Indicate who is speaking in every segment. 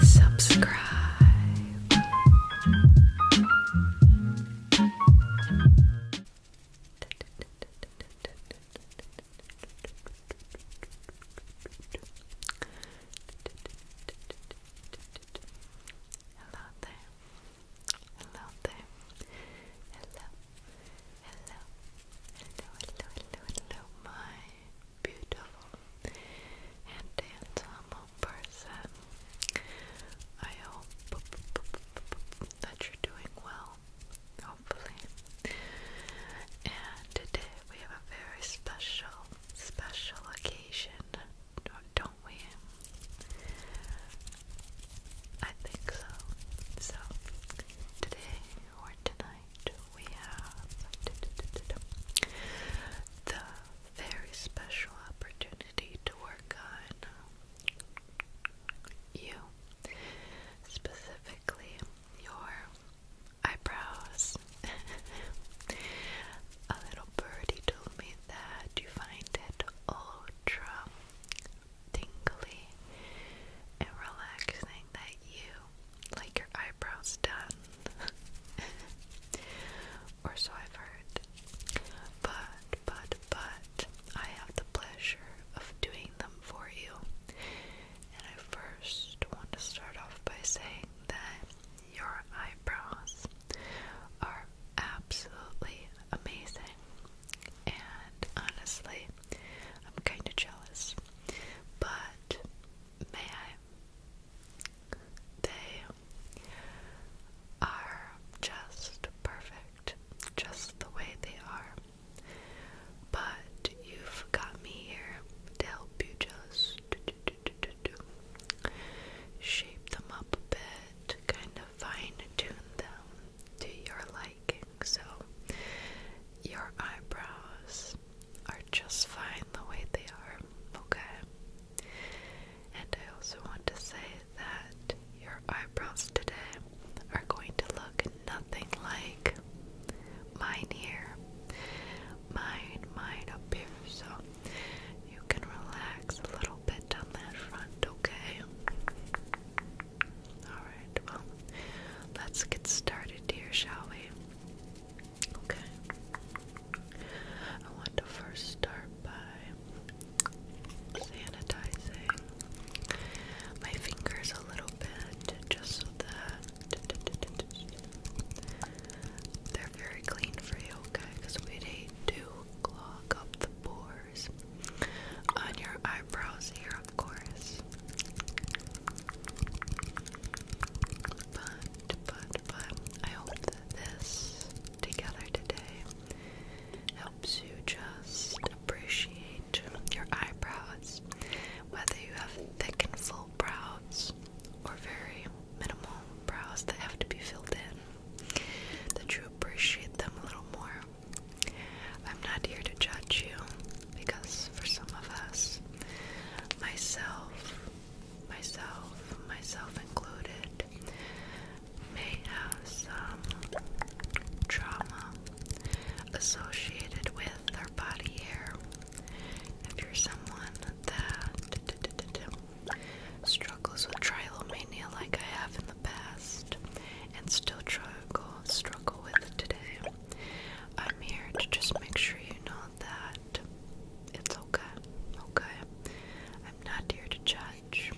Speaker 1: Subscribe. Hello there. Hello there. Hello hello, hello, hello, hello, my beautiful and handsome person. I hope that you're doing well, hopefully. And today we have a very special, special occasion, don't we? I think so. So, today or tonight we have the very special opportunity to work on you, specifically your eyebrows. A little birdie told me that you find it ultra tingly and relaxing that you like your eyebrows done. or so I've heard. But, but, but, I have the pleasure of doing them for you. And I first want to start off by saying that your eyebrows are absolutely amazing and honestly, I'm kind of jealous. But may I? They are just perfect, just the way they are. But you've got me here to help you just shape them up a bit, kind of fine tune them to your liking. So your eyebrows are just fine the way they are, okay? And I also want to say that your eyebrows today are going to look nothing like mine here. Mine, mine up here, so you can relax a little bit on that front, okay? Alright, well, let's get started dear, shall we? Okay. I want to first start by sanitizing my fingers a little bit just so that they're very clean for you, okay? Because we'd to clog up the pores on your eyebrows here of course. But, but, but, I hope that this together today helps you just appreciate your eyebrows, whether you have thick and full brows or very minimal brows that have to be filled in, that you appreciate them a little more. I'm not here to judge you because for some of us, myself, myself, myself included, may have some trauma associated with our body hair. If you're someone that struggles with trilomania like I have in the past and still struggle, struggle with today, I'm here to just make sure you know that it's okay, okay? I'm not here to judge.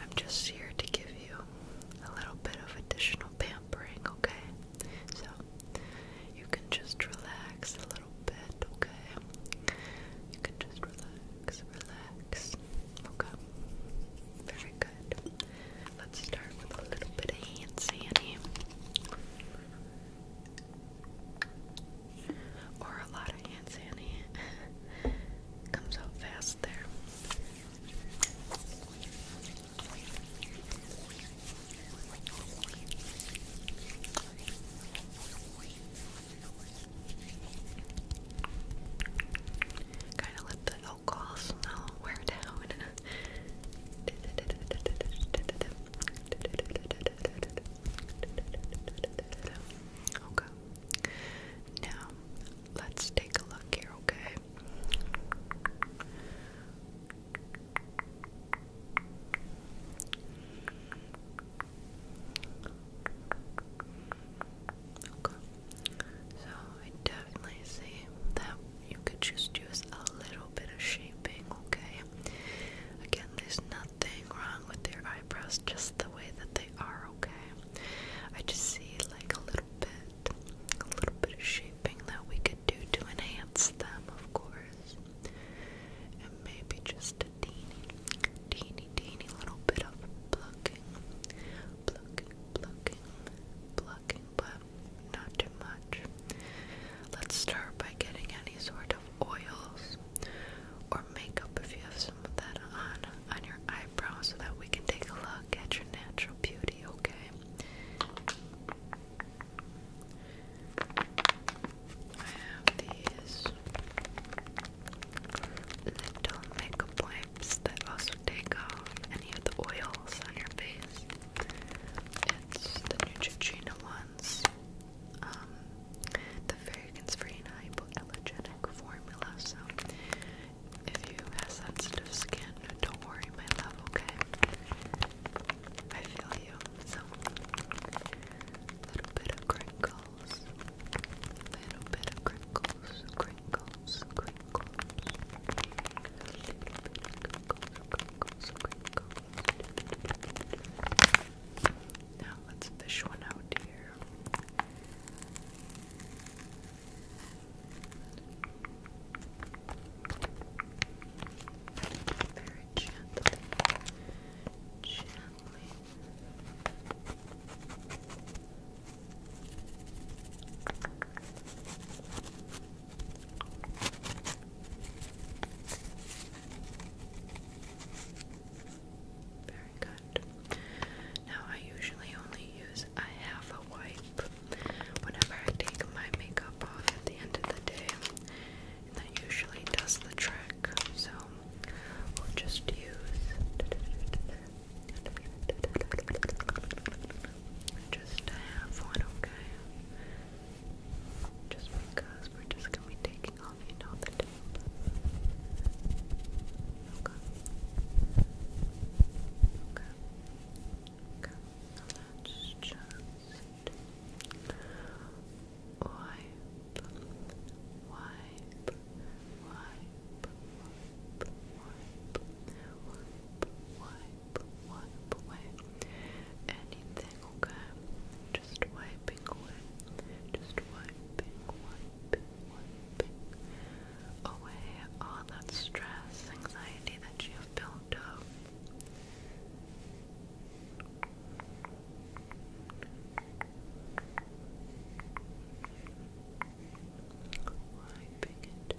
Speaker 1: I'm just here to give you a little bit of additional pampering, okay? So you can just relax a little bit, okay? You can just relax, relax, okay? very good. Let's start with a little bit of hand sandy. Or a lot of hand sandy. Comes out fast there. Kind of let the alcohol smell down. Okay. Now let's take a look here, Okay. So I definitely see that you could just use a little bit of shaping, okay? Again, there's nothing wrong with your eyebrows, just the way that they are, okay? I just see like a little bit, a little bit of shaping that we could do to enhance them, of course. And maybe just a teeny, teeny, teeny little bit of plucking, plucking, plucking, plucking but not too much. Let's start by getting any sort of oils or makeup if you have some of that on on your eyebrows so that we can take a look at your natural beauty, okay? I have these little makeup wipes that also take off any of the oils on your face. It's the Neutrogena ones. Um, the fragrance-free hypoallergenic formula. if you have sensitive skin, don't worry, my love. Okay, I feel you. little bit of crinkles, little bit of crinkles, crinkles, crinkles. Now let's fish one out here. Very gently, gently. Very good. Now, I usually only use a half a wipe whenever I take my makeup off at the end of the day, and that usually does the trick. So, we'll just use just to have one, okay? Just because we're just gonna be taking off, you know, the tip. Okay. Okay. Okay. let's just wipe, wipe, wipe, wipe, wipe, wipe wipe, away anything, okay? Just wiping away, just wiping, wiping, wiping away all that stress, anxiety that you have built up. Wiping it,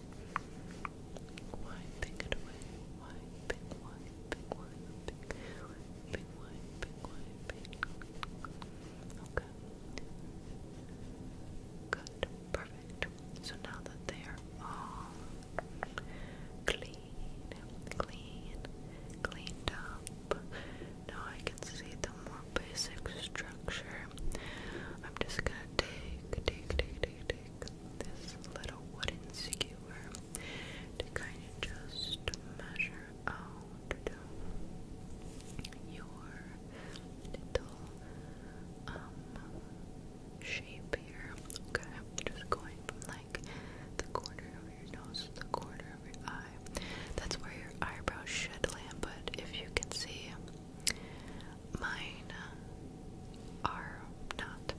Speaker 1: Okay. Good, perfect. So now that they are all clean, clean, cleaned up, now I can see the more basic structure structure. I'm just gonna take, take, take, take, take this little wooden skewer to kind of just measure out your little um, shape here. Okay, just going from like the corner of your nose to the corner of your eye. That's where your eyebrow should land, but if you can see Mine uh, are not.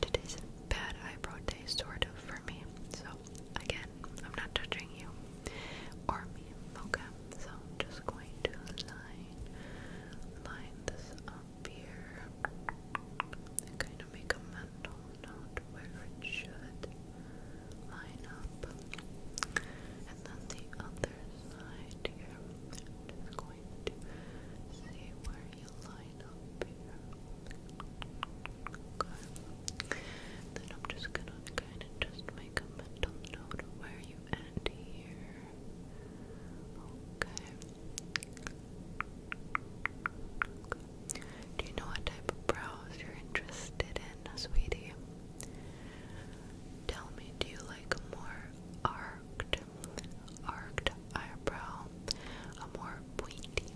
Speaker 1: Today's bad eyebrow day, sort of, for me. So, again, I'm not judging you or me, okay? So, I'm just going to line, line this up here kind of make a mental note where it should line up and the other side here. I'm just going to see where you line up here. Then I'm just gonna kind of just make a mental note of where you end here. okay. Do you know what type of brows you're interested in, sweetie? Tell me, do you like more R arched, eyebrow, a more pointy,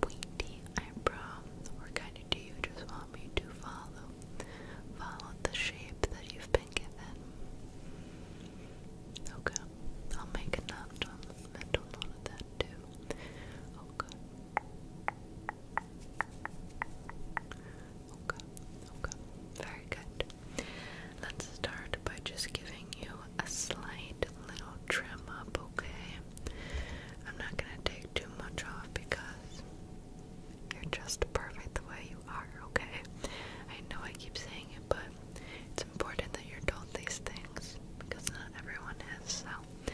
Speaker 1: pointy eyebrow. we kind of do you just want me to follow, follow the shape that you've been given? Okay, I'll make a note, mental note that too. Okay. Okay, okay, very good. Let's start by just giving you a slight little trim okay? I'm not gonna take too much off because you're just perfect the way you are, okay? I know I keep saying it, but it's important that you're told these things because not everyone is, so.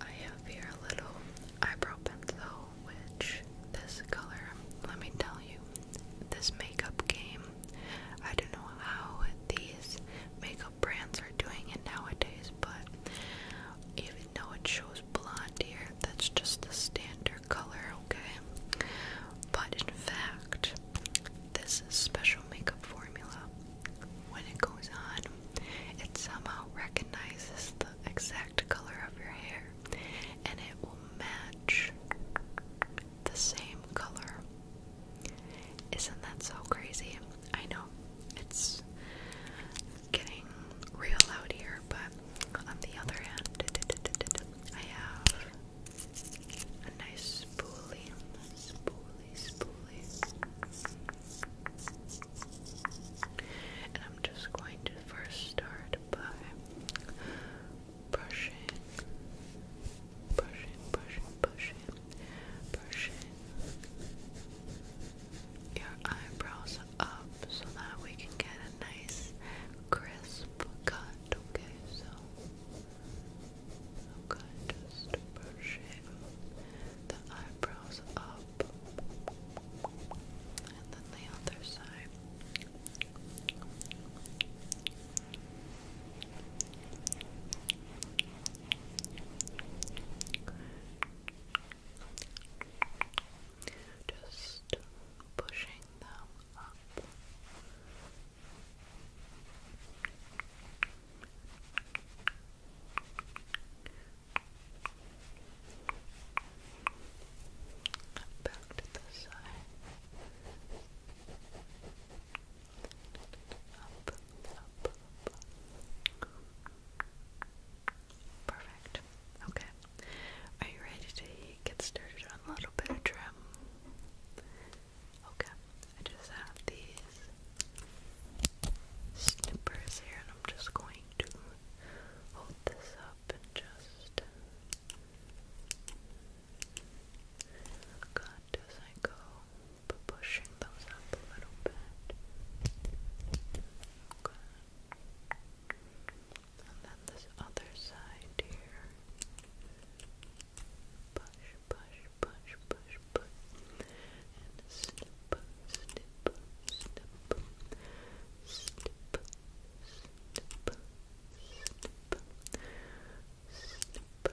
Speaker 1: I have here little eyebrow pencil which this color, let me tell you, this makeup game, I don't know how these makeup brands are doing it nowadays, but even though it shows blonde here, that's just the standard color, okay? But in fact, this special makeup formula, when it goes on, it somehow recognizes the exact color of your hair and it will match the same color. Isn't that so crazy? I know it's getting real loud here, but on the other hand, I have a nice spoolie, spoolie, spoolie. And I'm just going to first start by brushing, brushing, brushing, brushing, brushing your eyebrows up so that we can get a nice crisp cut, okay? So, okay, just brushing the eyebrows up and then the other side. Just pushing them up. Back to the side. Up, up, up. Perfect. Okay. Are you ready to get started on a little bit of trim? Okay. I just have these snippers here and I'm just going to hold this up up and just cut as I go, but pushing those up a little bit. And then this other side here. Push, push, push, push, push. And snip, snip, snip, snip, snip, snip, snip, snip, snip, snip. Just going to cut, cut, cut,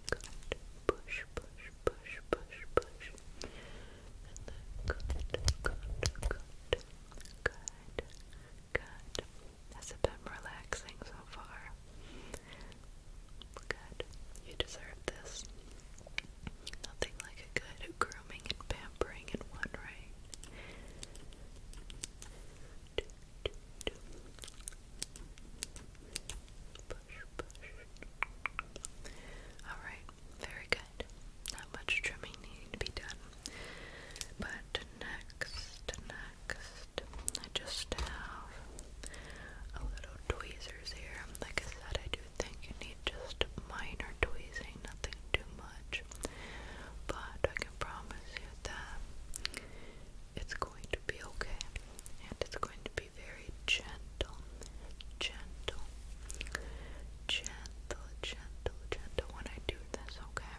Speaker 1: cut, push, push, push, push, push, and then cut, cut, cut, cut, cut, Good. Has it been relaxing so far? Good. You deserve this. Nothing like a good grooming and pampering in one, right? Alright, very good. Not much trimming needing to be done. But next. I just have a little tweezers here like I said I do think you need just minor tweezing nothing too much but I can promise you that it's going to be okay and it's going to be very gentle gentle gentle gentle gentle when I do this okay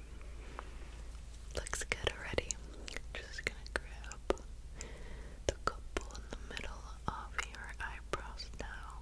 Speaker 1: Looks good already. Just gonna grab the couple in the middle of your eyebrows now.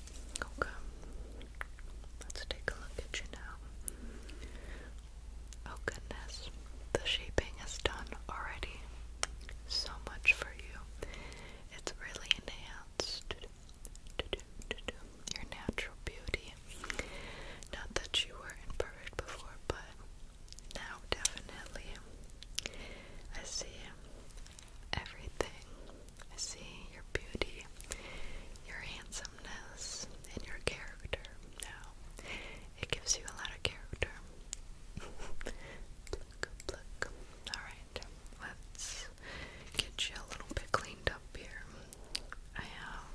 Speaker 1: Okay. Let's take a look at you now. Oh goodness. The shaping is done already. So much for you. It's really enhanced your natural beauty. Not that you were imperfect before, but now definitely. I see everything. I see your beauty, your handsomeness, and your character. Now, it gives you a lot of character. look, look. Alright, let's get you a little bit cleaned up here. I have.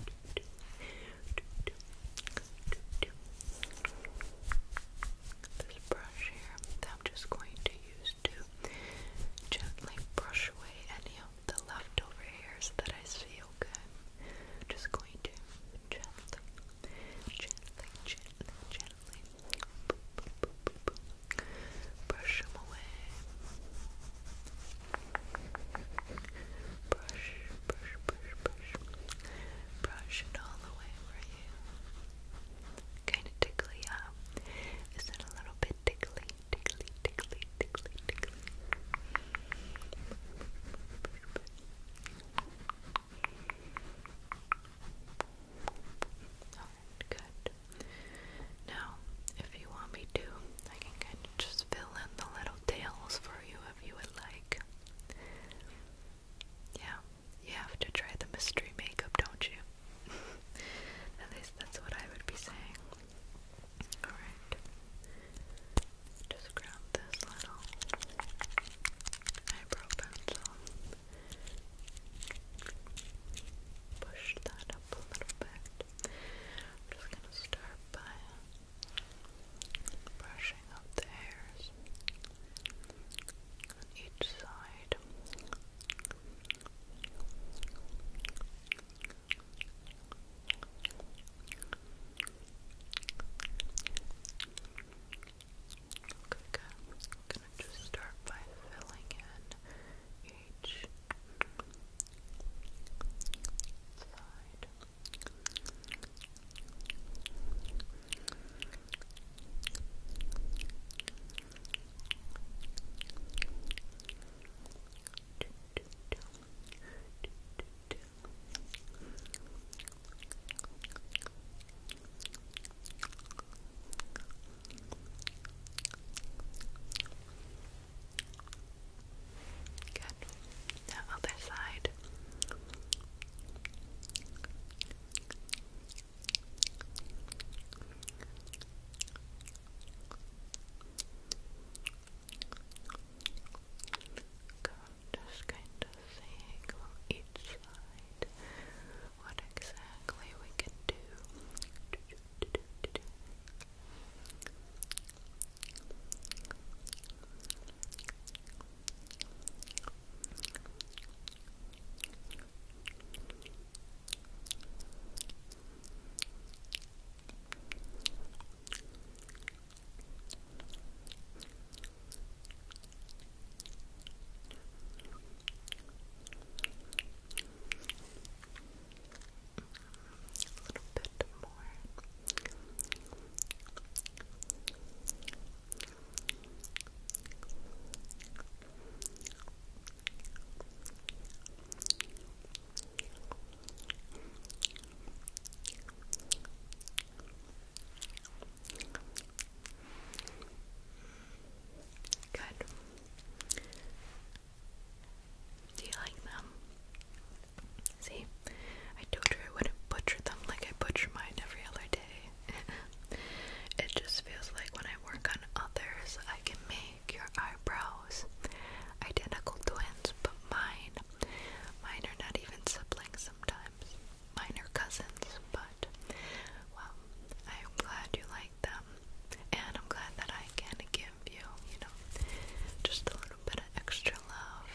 Speaker 1: Um, this brush here that I'm just going to use to gently brush away any of the leftover hairs that I see, okay? I'm just going to gently, gently, gently, gently boop, boop, boop, boop, boop. brush them away. Brush, brush, brush, brush. Brush it all away for you kind of tickly, huh? Is it a little bit tickly? Tickly, tickly, tickly, tickly. Alright, good. Now, if you want me to, I can kind of just fill in the little tails for you if you would like. Yeah, you have to try the mystery makeup, don't you? At least that's what I would be saying. Alright. Just grab this little eyebrow pencil. Push that up a little bit. just gonna start by brushing up the hairs on each side. I'm gonna just start by filling in each side. Good. Now other side. I'm just kind of seeing on each side what exactly we can do bit more. Good. Do you like them? See, I told her I wouldn't butcher them like I butcher mine every other day. It just feels like when I work on others, I can make your eyebrows identical twins, but mine, mine are not even siblings sometimes. Mine are cousins, but well, I am glad you like them, and I'm glad that I can give you, you know, just a little bit of extra love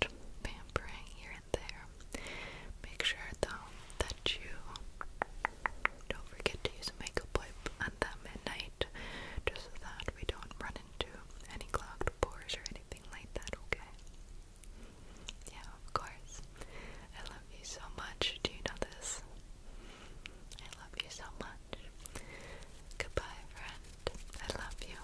Speaker 1: and pampering here and there. Make sure though that you don't forget to use a makeup wipe at that midnight, just so that we don't run into any clogged pores or anything like that, okay? Yeah, of course. I love you so much. Do you know this? I love you so much. Goodbye, friend. I love you.